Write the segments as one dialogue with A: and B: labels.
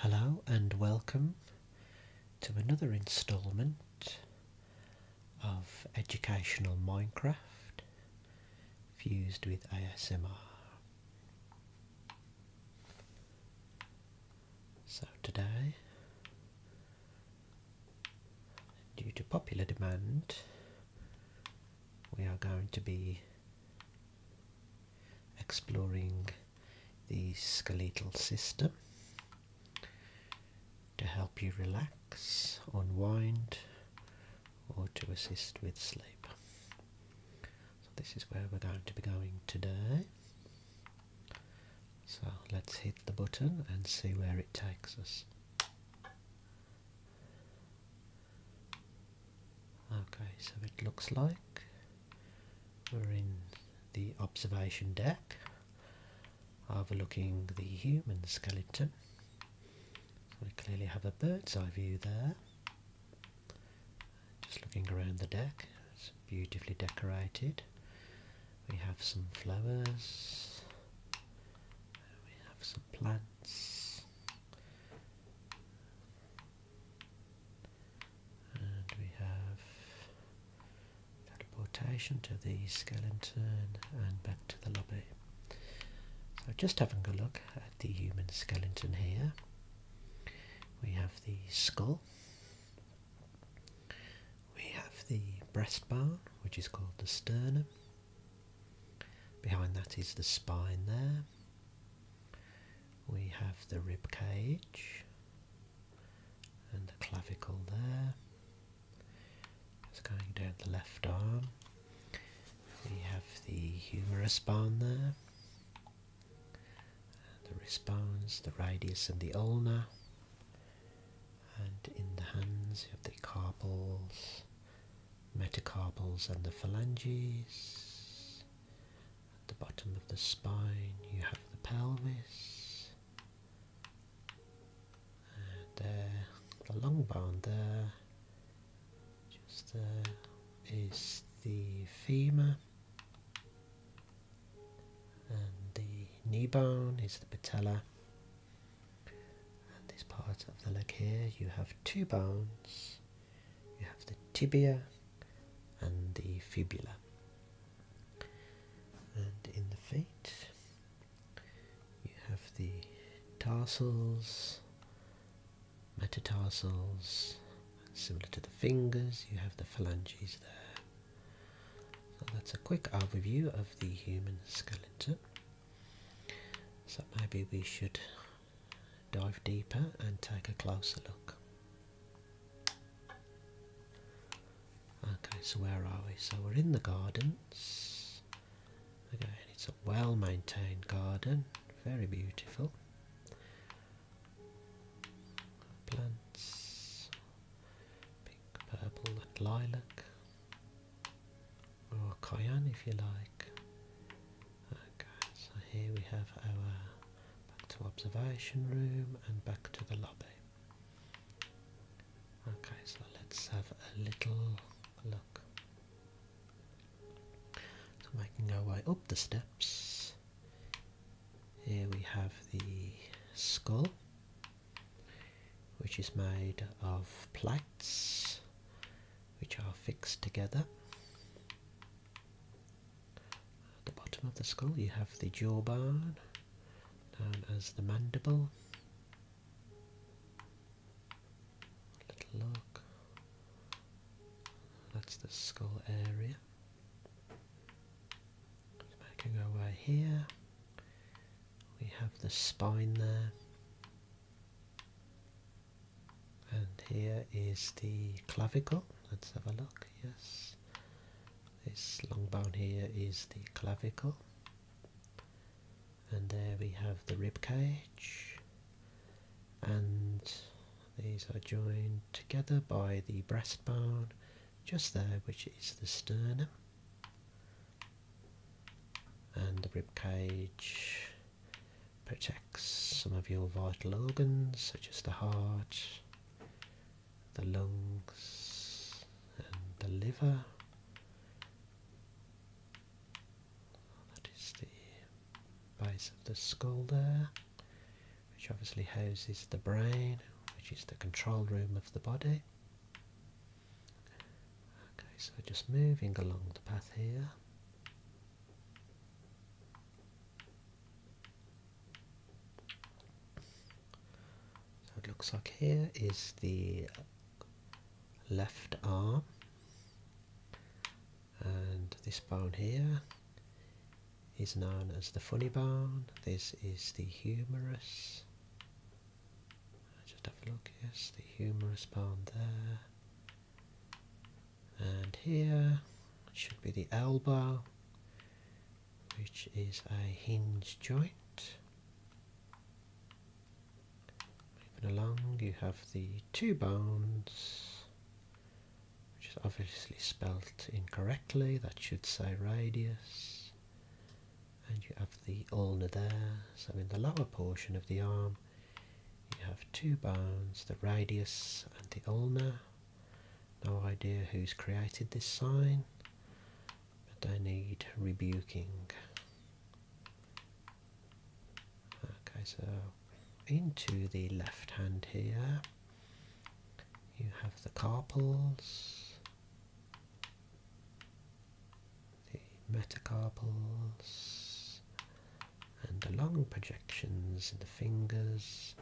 A: Hello and welcome to another installment of Educational Minecraft fused with ASMR. So today, due to popular demand, we are going to be exploring the skeletal system to help you relax, unwind, or to assist with sleep. So, this is where we're going to be going today. So, let's hit the button and see where it takes us. Okay, so it looks like we're in the observation deck overlooking the human skeleton. we clearly have a bird's eye view there. Just looking around the deck, it's beautifully decorated. We have some flowers, we have some plants, and we have teleportation to the skeleton and back to the lobby. So just having a look at the human skeleton here. We have the skull. We have the breastbone, which is called the sternum. Behind that is the spine there. We have the rib cage and the clavicle there. It's going down the left arm. We have the humerus bone there, and the wrist bones, the radius and the ulna. And in the hands you have the carpals metacarpals and the phalanges. At the bottom of the spine you have the pelvis. And the long bone there, just there, is the femur. And the knee bone is the patella. And this part of the leg here you have two bones you have the tibia and the fibula. And in the feet, you have the tarsals, metatarsals, similar to the fingers, you have the phalanges there. So that's a quick overview of the human skeleton. So maybe we should dive deeper and take a closer look. Okay, so where are we? So we're in the gardens. Again, it's a well maintained garden, very beautiful. Plants, pink, purple, and lilac, or cayenne if you like. Okay, so here we have our back to observation room and back to the lobby. Okay, so let's have a little look. So making our way up the steps, here we have the skull, which is made of plates which are fixed together. At the bottom of the skull you have the jawbone, known as the mandible. little look. That's the skull area. Making our way here. We have the spine there and here is the clavicle let's have a look yes this long bone here is the clavicle and there we have the rib cage and these are joined together by the breastbone just there which is the sternum and the rib cage protects some of your vital organs such as the heart, the lungs and the liver. That is the base of the skull there, which obviously houses the brain, which is the control room of the body. Okay, so just moving along the path here. So it looks like here is the left arm and this bone here is known as the funny bone. This is the humerus. Just have a look, yes, the humerus bone there and here should be the elbow which is a hinge joint moving along you have the two bones which is obviously spelt incorrectly that should say radius and you have the ulna there so in the lower portion of the arm you have two bones, the radius and the ulna. No idea who's created this sign, but I need rebuking. Okay, so into the left hand here, you have the carpals the metacarpals and the long projections in the fingers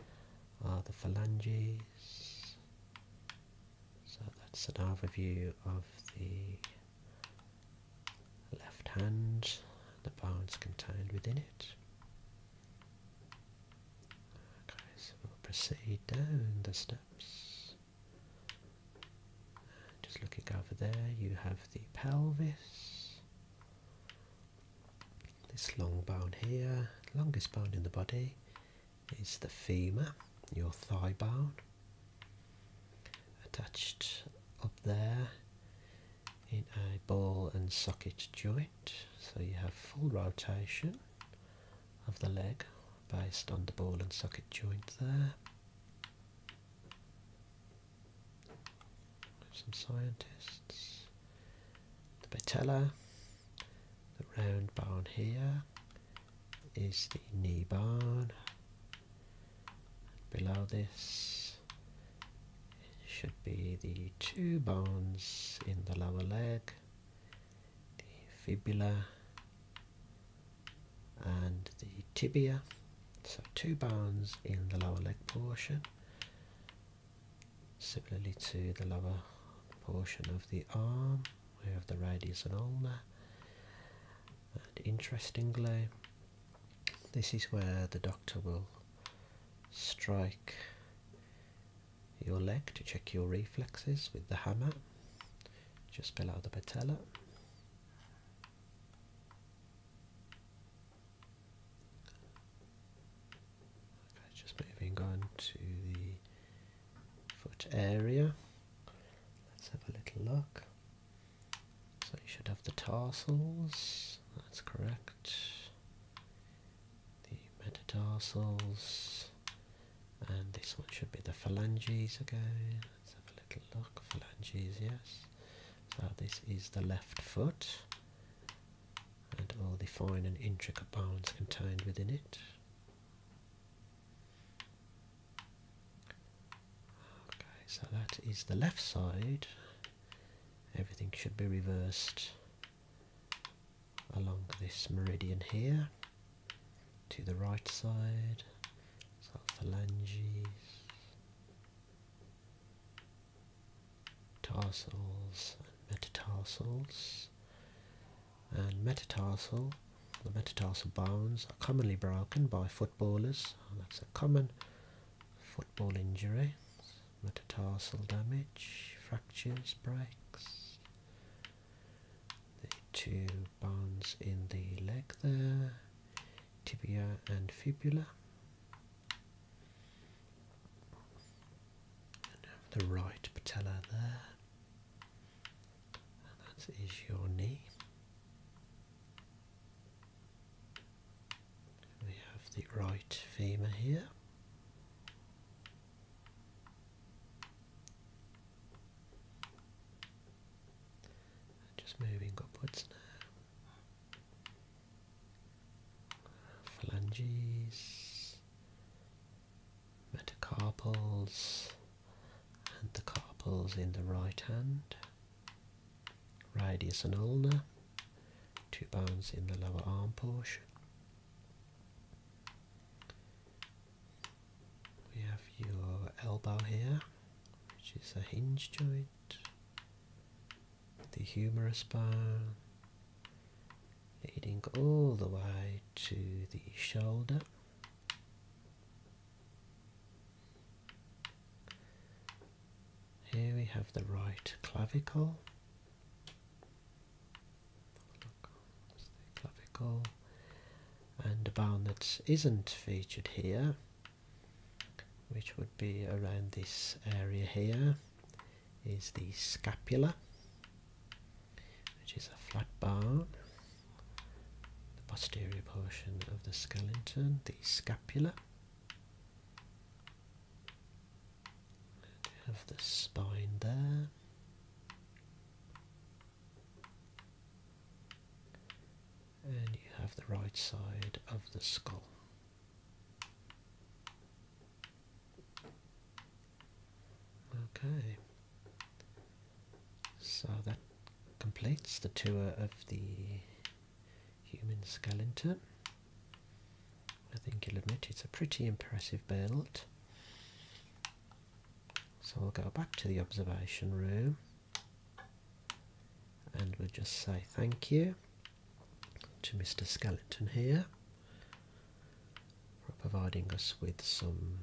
A: are the phalanges. So that's an overview of the left hand, and the bones contained within it. Okay, so we'll proceed down the steps just looking over there, you have the pelvis, this long bone here, longest bone in the body is the femur, your thigh bone. Attached up there in a ball and socket joint, so you have full rotation of the leg based on the ball and socket joint there some scientists. The patella, the round bone here is the knee bone. Below this should be the two bones in the lower leg, the fibula and the tibia so two bones in the lower leg portion similarly to the lower portion of the arm we have the radius and ulna and interestingly this is where the doctor will strike your leg to check your reflexes with the hammer just below the patella just moving on to the foot area. Let's have a little look. So you should have the tarsals, that's correct. The metatarsals, and this one should be the phalanges again have a little look. Phalanges, yes. So this is the left foot and all the fine and intricate bones contained within it. Okay, so that is the left side. Everything should be reversed along this meridian here to the right side, phalanges, tarsals and metatarsals. And metatarsal, the metatarsal bones are commonly broken by footballers. That's a common football injury. Metatarsal damage, fractures, breaks. The two and bones in the leg there, tibia and fibula. the right patella there. And that is your knee. We have the right femur here just moving upwards now. Phalanges, metacarpals, and the carpals in the right hand. Radius and ulna, two bones in the lower arm portion. We have your elbow here, which is a hinge joint, the humerus bone, leading all the way to the shoulder. Here we have the right clavicle. clavicle and the bone that isn't featured here which would be around this area here is the scapula which is a flat bone the posterior portion of the skeleton the scapula and we have the spine there and you have the right side of the skull. Okay, so that completes the tour of the human skeleton. I think you'll admit it's a pretty impressive build. So we'll go back to the observation room and we'll just say thank you to Mr. Skeleton here for providing us with some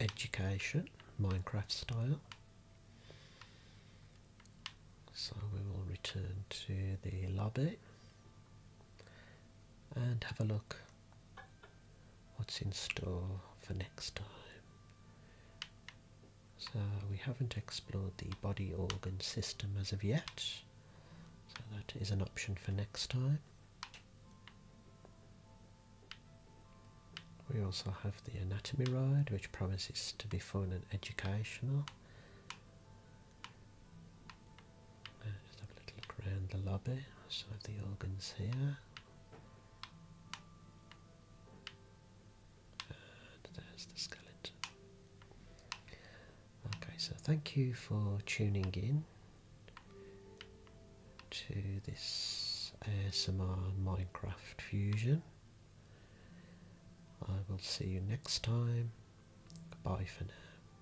A: education, Minecraft style. So we will return to the lobby and have a look what's in store for next time. So we haven't explored the body organ system as of yet, so that is an option for next time. We also have the anatomy ride, which promises to be fun and educational just uh, have a little look around the lobby. Some of the organs here. And there's the skeleton. Okay, so thank you for tuning in to this ASMR Minecraft Fusion. I will see you next time. Goodbye for now.